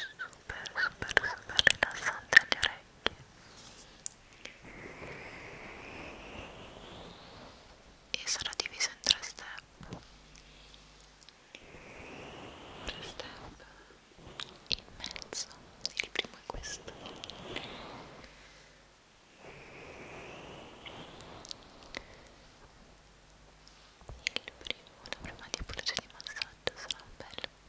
super super super rilassante alle orecchie e sarà diviso in tre step tre step in mezzo il primo è questo il primo, la prima diapologia di massaggio sarà bello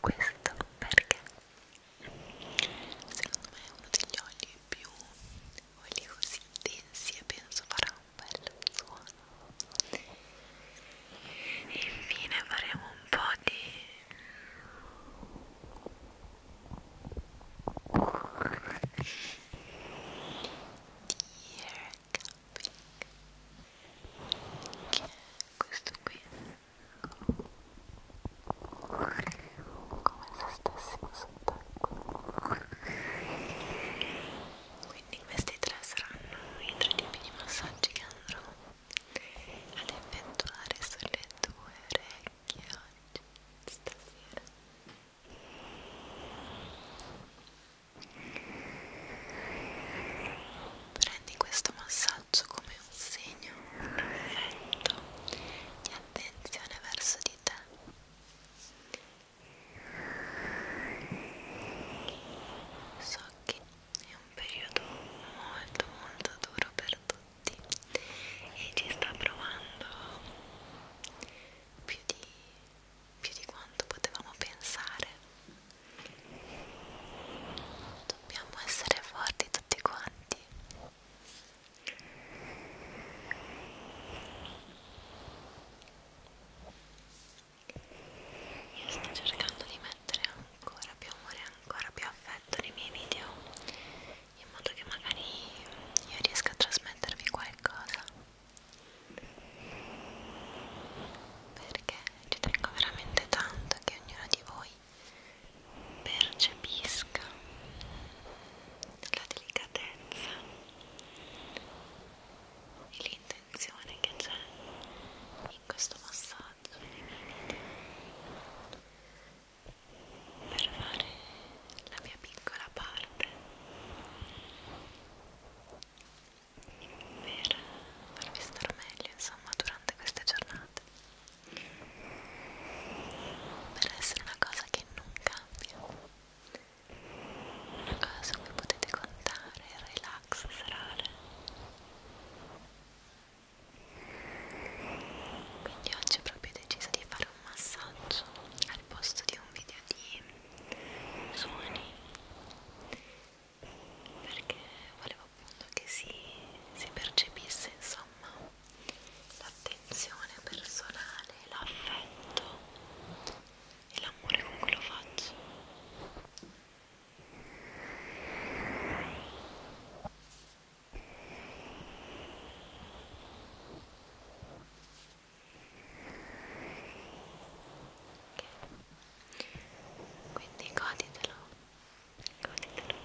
questo perché secondo me è uno degli oli più oli così densi e penso farà un bel suono e infine faremo un po' di ear camping che è questo qui come se stessimo sott'acqua quindi questi tre saranno i tre tipi di massaggi che andrò ad effettuare sulle tue orecchie oggi stasera Prendi questo massaggio come un segno perfetto di attenzione verso di te. So che è un periodo molto molto duro per tutti e ci sta provando più di, più di quanto potevamo pensare dobbiamo essere forti tutti quanti io sto cercando di mettere ancora più amore ancora più affetto nei miei video in modo che magari io riesca a trasmettervi qualcosa perché ci tengo veramente tanto che ognuno di voi percepisca la delicatezza e l'intenzione che c'è in questo massaggio nei miei video per fare la mia piccola parte per farvi stare meglio insomma durante queste giornate per essere una cosa che non cambia una cosa su cui potete contare il relax serale quindi oggi ho proprio deciso di fare un massaggio al posto di un video di suoni perché volevo appunto che si, si percepisse insomma l'attenzione personale, l'affetto e l'amore con cui lo faccio ok quindi goditelo goditelo Ecco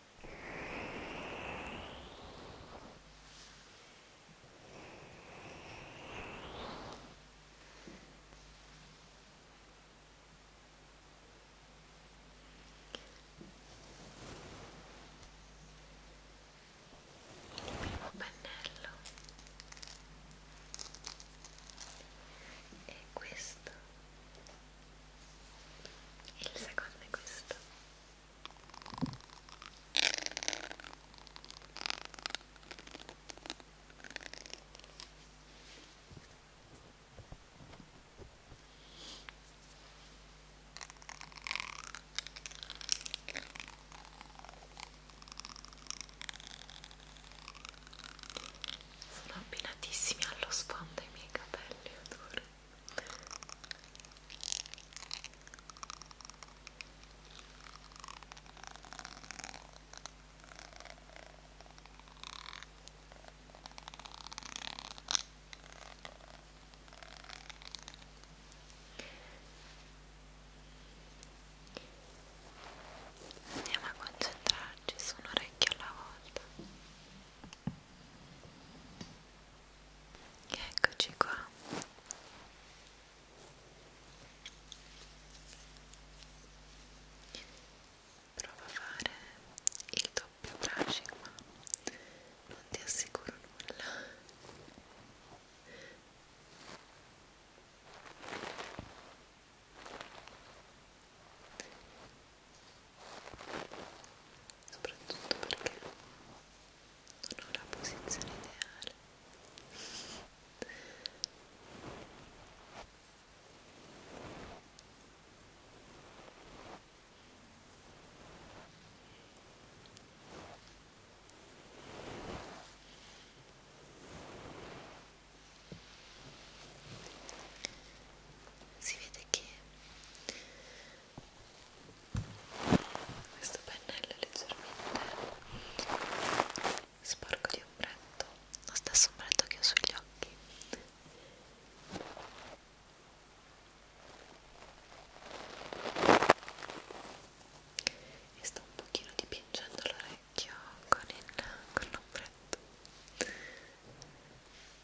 il primo pennello e questo il secondo è questo sono abbinatissimi allo sfondo i miei capelli, adoro. Andiamo a concentrarci su un orecchio alla volta. Eccoci qua. Prova a fare il doppio brushing, ma non ti assicuro nulla soprattutto perché non ho la posizione ideale si vede che questo pennello è leggermente sporco di ombretto lo stesso ombretto che ho sugli occhi e sto un pochino dipingendo l'orecchio con l'ombretto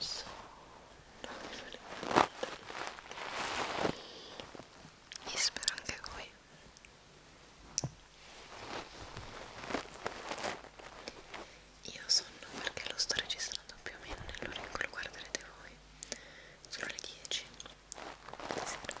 so non mi fare e spero anche voi io sonno perché lo sto registrando più o meno nell'ora in cui lo guarderete voi sono le 10 di sera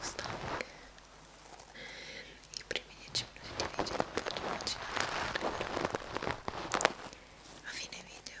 stanche i primi 10 minuti di video non potete immaginare a fine video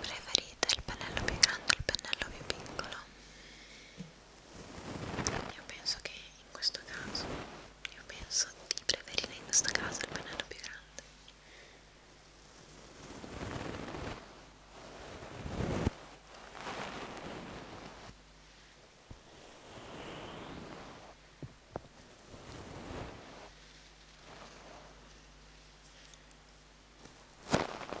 Preferite il pennello più grande o il pennello più piccolo? Io penso che in questo caso, io penso di preferire in questo caso il pennello più grande. Ecco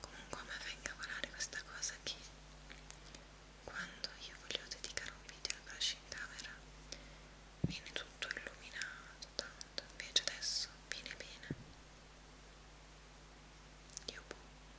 Comunque a me fa incavolare questa cosa che quando io voglio dedicare un video alla brush in camera viene tutto illuminato tanto, invece adesso viene bene. Io boh.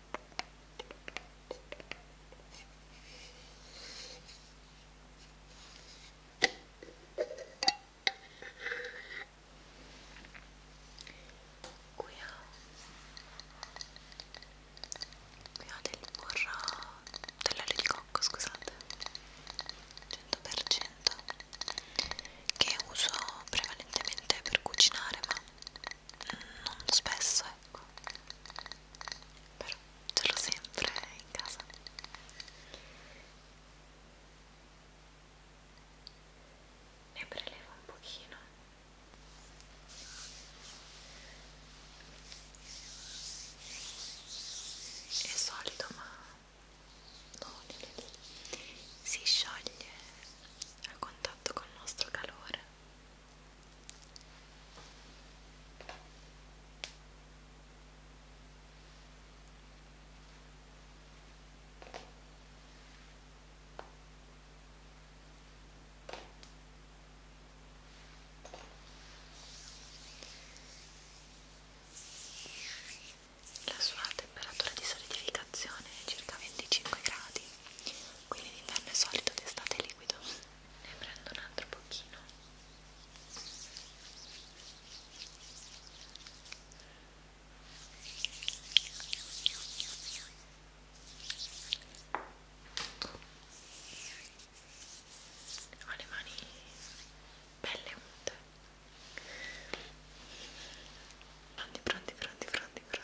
Qui ho, qui ho del burro, dell'olio di cocco, scusate, 100% che uso prevalentemente per cucinare, ma non spesso ecco però ce l'ho sempre in casa ne prelevo un pochino eh. è solido ma non si scioglie a contatto col nostro calore la sua temperatura di solidificazione è circa 25 gradi quindi d'inverno è solido, d'estate è liquido ne prendo un altro pochino ho le mani belle unte pronti pronti pronti pronti pronti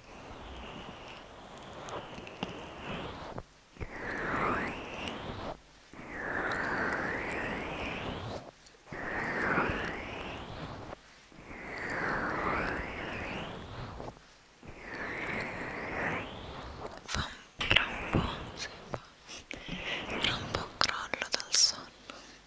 Fa un, tra un po', si fa, tra un po' crollo dal sonno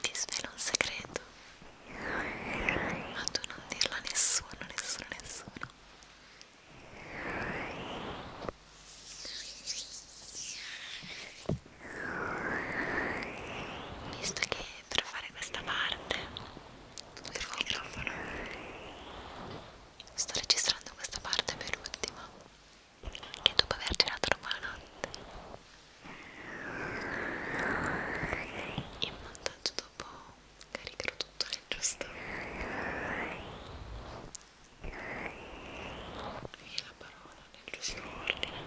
Ti svelo un segreto, ma tu non dirlo a nessuno, nessuno, nessuno visto che per fare questa parte del microfono sto registrando questa parte per ultima che dopo aver girato la buonanotte in montaggio dopo caricherò tutto nel giusto e la parola nel giusto ordine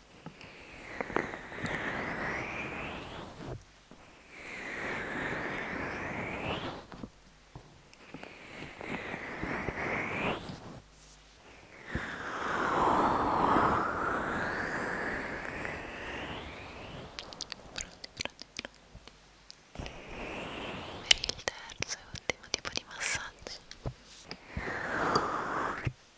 Per il terzo e ultimo tipo di massaggio in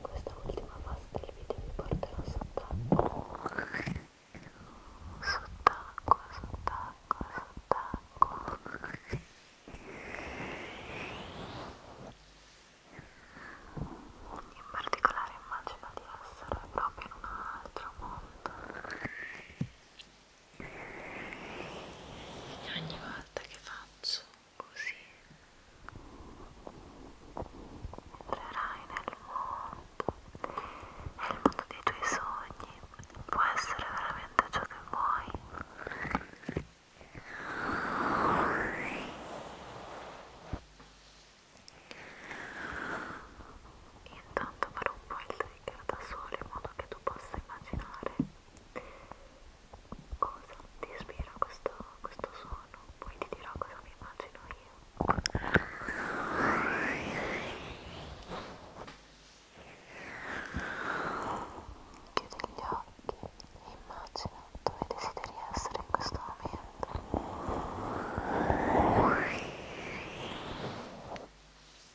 questa ultima fase del video vi porterò sott'acqua sott'acqua, sott'acqua, sott'acqua in particolare immagino di essere proprio in un altro mondo ogni volta che faccio così entrerai nel mondo nel mondo dei tuoi sogni può essere veramente ciò che vuoi intanto farò un po' il spiegare da sola in modo che tu possa immaginare cosa ti ispira questo, questo suono, poi ti dirò cosa mi immagino io. Chiudi gli occhi e immagina dove desideri essere in questo momento.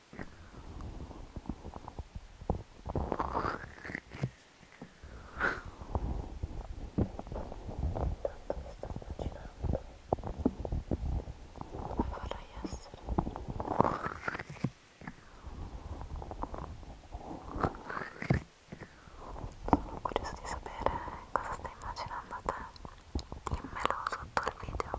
vorrei essere sono curioso di sapere cosa stai immaginando te dimmelo sotto il video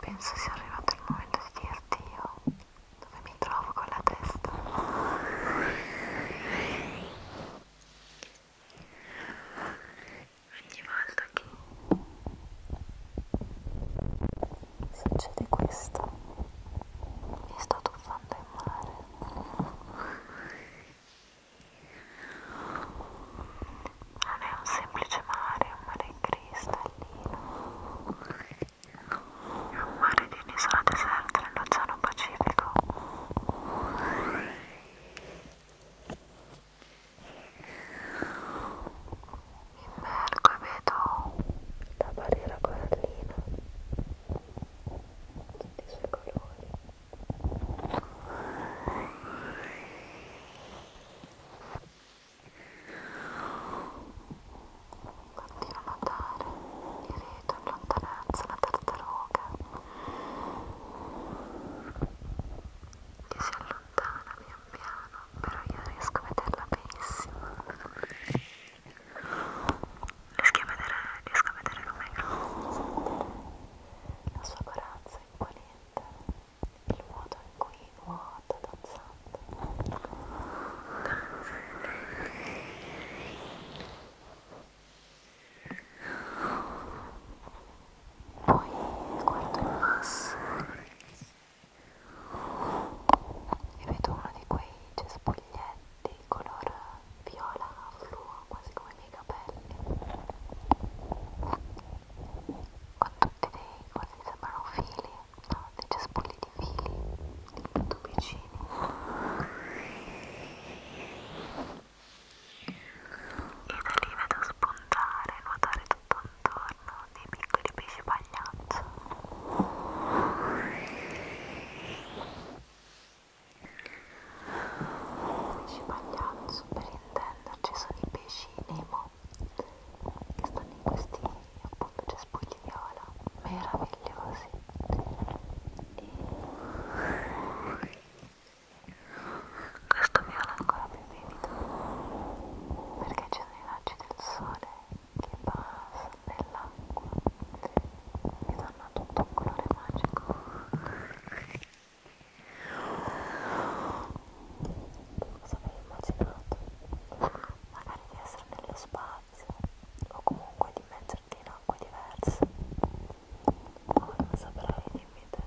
penso sia arrivato il momento di dirti io dove mi trovo con la testa. Ogni volta che succede questo mi sto tuffando in mare non è un semplice mare, è un mare cristallino è un mare di un'isola deserta nell'oceano Pacifico immergo e vedo la barriera corallina tutti i suoi colori Continua a notare il rito in lontananza, una tartaruga che si allontana pian piano, però io riesco a vederla benissimo. Riesco a vedere, riesco a vedere Romeo. La sua corazza imponente il modo in cui nuota danzando poi guardo in basso e vedo uno di quei cespuglietti color viola fluo quasi come i miei capelli con tutti dei così sembrano fili, no? dei cespugli di fili, dei tubicini e da lì vedo spuntare, nuotare tutto intorno dei piccoli pesci pagliaccio pesci pagliaccio per intenderci sono i pesci Nemo che stanno in questi appunto cespugli viola meravigliosi e questo viola ancora più vivido perché ci sono i raggi del sole che passano nell'acqua e danno tutto un colore magico cosa avevi immaginato magari di essere nello spazio o comunque di immergerti in acque diverse poi non saprai dimmi te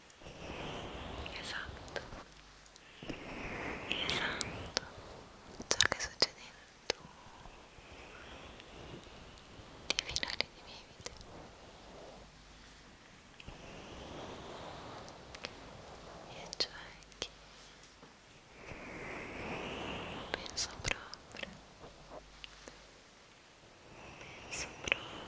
esatto esatto ciò che succede in tu ti finali di vivite e cioè che penso proprio penso proprio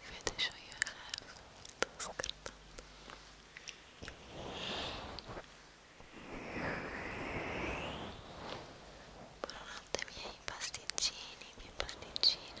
Finish all you have. That's good. Buonanotte miei pasticcini, mie pasticcine.